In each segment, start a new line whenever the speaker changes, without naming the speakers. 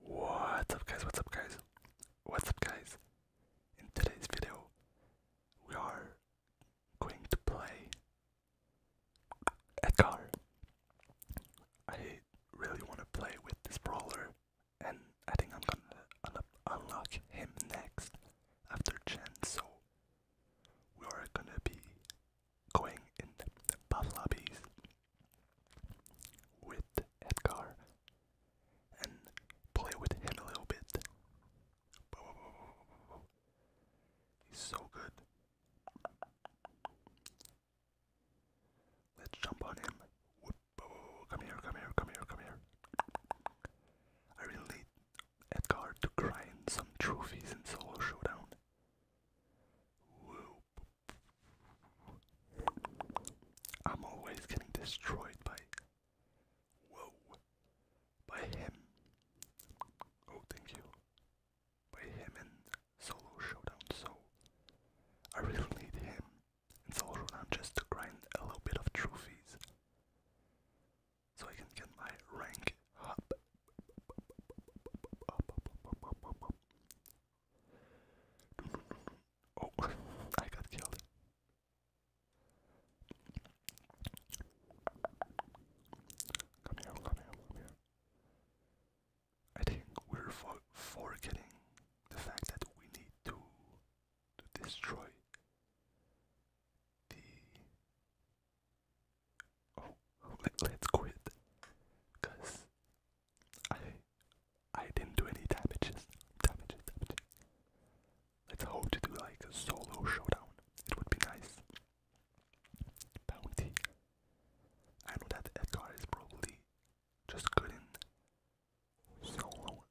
What's up guys, what's up guys, what's up guys? In today's video, we are going to play Edgar. I really want to play with this brawler and I think I'm gonna unlock him next after Chen, so we are gonna be going in the lobbies with Edgar and play with him a little bit. He's so good. Let's jump on him. Come here, come here, come here, come here. I really need Edgar to grind some trophies in Solo Showdown. I'm always getting destroyed by whoa by him. Oh thank you. By him in solo showdown, so I really need him in solo showdown just to grind a little bit of trophies. So I can get my rank up. Oh, I got killed. Come here, come here, come here. I think we're for forgetting the fact that we need to to destroy the. Oh, let, us quit because I I didn't do any damages. Damages, damages. Let's hope to do like a solo showdown. It would be nice. Bounty. I know that Edgar is probably just good in solo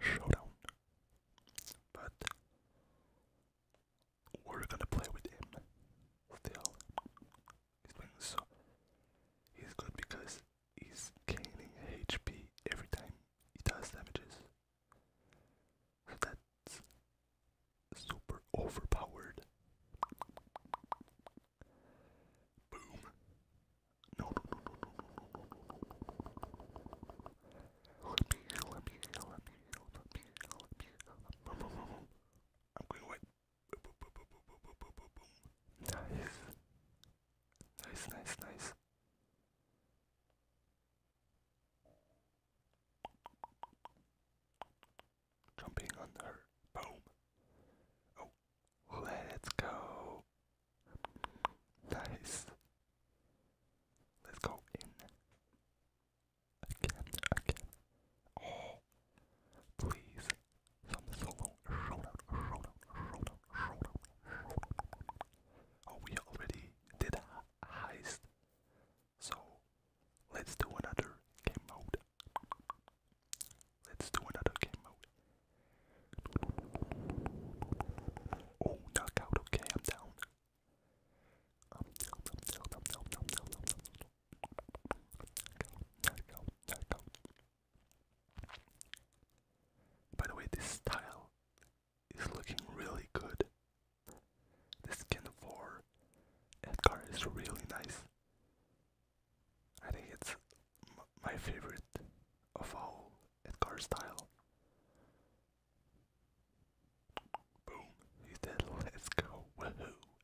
showdown. But we're gonna play with him still. He's playing so. He's good because he's gaining HP every time he does damages. that's super overpowered. Boom. No, no, no, no, no, no, no, no. Let me, let me, let me, let me, let me, let me. Let me. I'm going away. Nice. Nice, nice, nice. Jumping on her. Boom. Oh, let's go. Nice. Let's go in. Again, again. Oh, channel. Please, some solo shout out, shout out, Oh, we already did heist, so let's do another game mode. Let's do another game mode. Oh, knockout, okay, I'm down. I'm down, I'm down, I'm down, I'm down, I'm down, I'm down. Knockout, knockout, knockout. By the way, this style is looking really good. The skin for Edgar is really nice. I think it's my favorite of all Edgar style. Boom, he's dead. Let's go. Woohoo.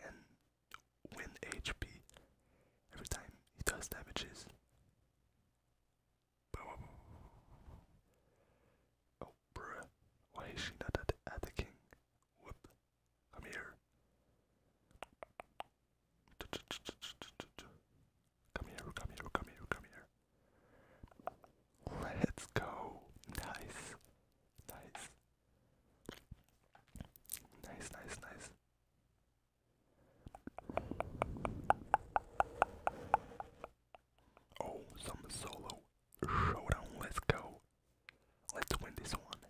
and win HP every time he does damages. Oh, bruh. Why is she not attacking? Whoop. Come here. Come here, come here, come here, come here. Let's go. Nice. Nice. Nice, nice, nice. Oh, some solo showdown. Let's go. Let's win this one.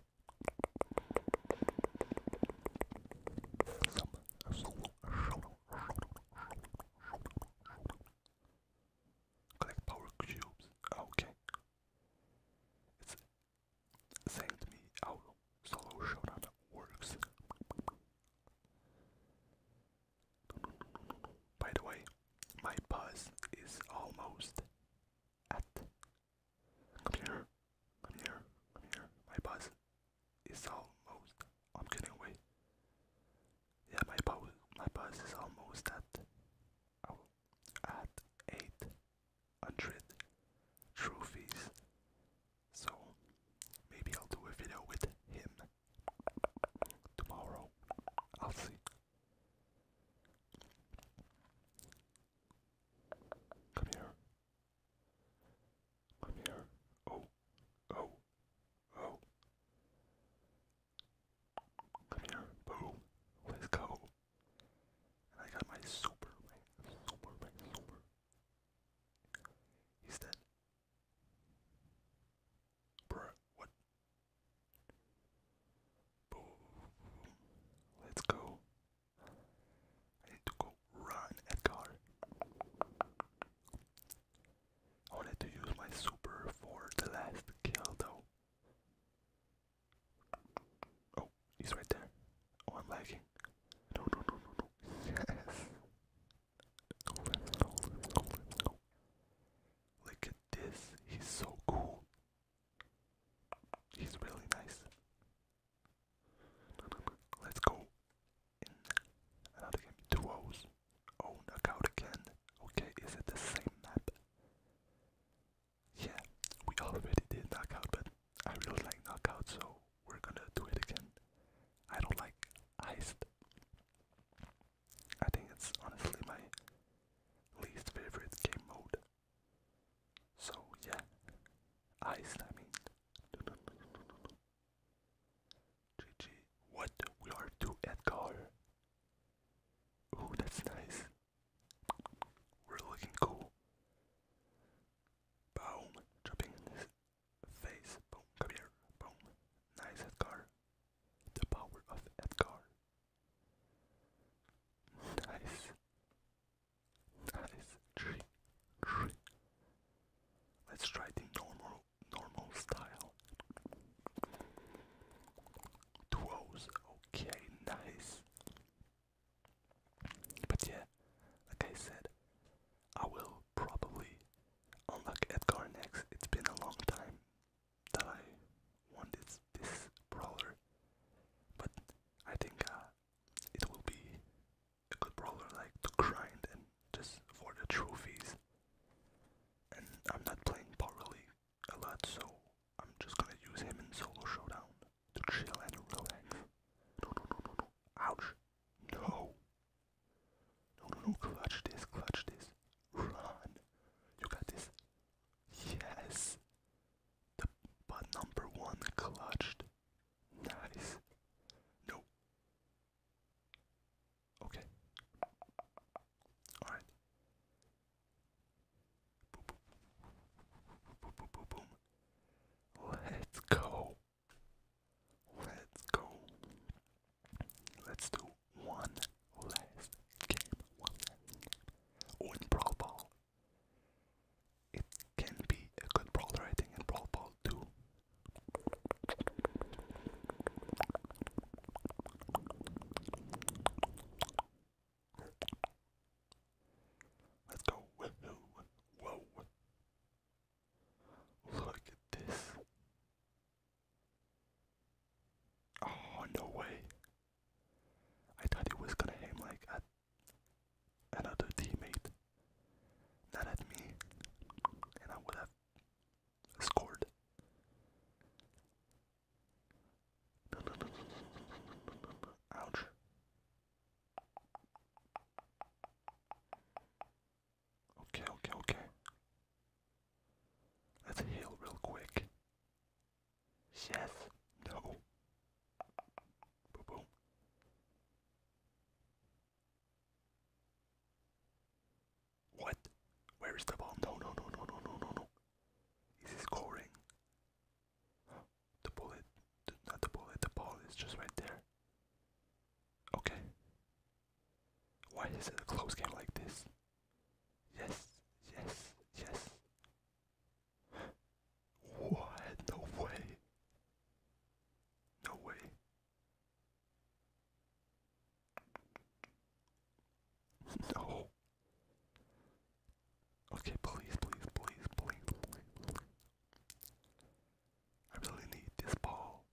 Some solo showdown. Collect power cubes. Okay. It's sent me how solo showdown works. By the way, my buzz is almost at. Come here, come here, come here. My buzz is almost. I'm getting away. Yeah, my buzz, my buzz is almost at. at eight hundred trophies. So maybe I'll do a video with him tomorrow. I'll see. Come here. Come here. Oh, oh, oh. Come here. Boom. Let's go. I got my super He's dead. what? Let's go. I need to go run at car. I wanted to use my super for the last kill though. Oh, he's right there. Oh, I'm lagging. No, no, no, no, no. Yes. Go, let's go, Look at this. He's so cool. He's really nice. Let's go. another game. Two O's. Oh, knockout again. Okay, is it the same map? yeah, we already did knockout, but I really like knockout, so we're gonna do it again. I don't like iced. I think it's honestly my least favorite game mode. So yeah, iced. I mean, GG. What we are to Edgar. Ooh, that's nice. We're looking cool. Boom. Chopping his face. Boom. Come here. Boom. Nice Edgar. The power of Edgar. Nice. Nice. Tree. Tree. Let's try the normal normal style. Two Okay, nice. But yeah, like I said, I will probably unlock Edgar next. It's been a long time that I wanted this brawler, but I think uh, it will be a good brawler like to grind and just for the trophies. And I'm not playing Power a lot, so I'm just gonna use him in solo showdown to chill and relax. No, no, no, no, no. Ouch. No. No, no, no. Clutch this. Clutch this. Run. You got this. Yes. The but number one clutched. Nice. No. Okay. Alright. Let's go. Let's go. Let's do one last game. One in Brawl Ball. It can be a good brawler, I in Brawl Ball too. Let's go. Woohoo. Whoa. Look at this. Oh, no way. I thought it was gonna aim like at another teammate, not at me, and I would have scored. Ouch. Okay, okay, okay. Let's heal real quick. Yes. No. Boom, boom. What? Where is the bomb? No, no, no, no, no, no, no, no. Is he scoring? The bullet, not the bullet, the ball is just right there. Okay. Why is it a close game like this? Yes, yes, yes. What? No way. No way. No. Okay, please, please, please, please, please. I really need this ball.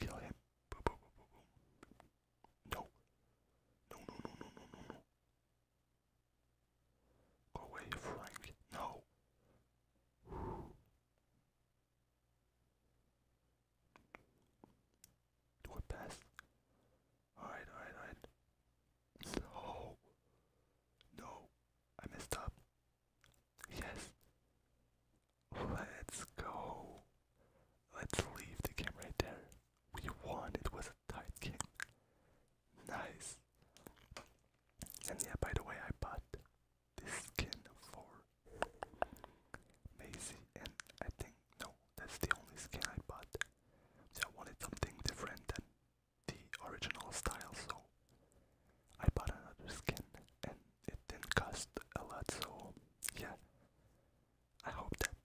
Kill him. Boom, boom, boom, boom, boom. No. No, no, no, no, no, no, no. Go away, Frank. No. We're past. Alright, alright, alright. No. No. I messed up. Yes. Let's go. Let's leave the game there. We won. It was a tight game. Nice. And yeah, by the way, I bought this skin for Maisie, and I think no, that's the only skin I bought. So I wanted something different than the original style, so I bought another skin and it didn't cost a lot, so yeah. I hope that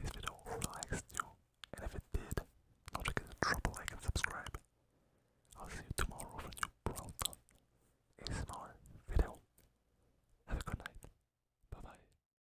this video relaxed you, and if it did, not to get in trouble, like and subscribe. I'll see you tomorrow for a new Brawl ASMR video. Have a good night. Bye bye.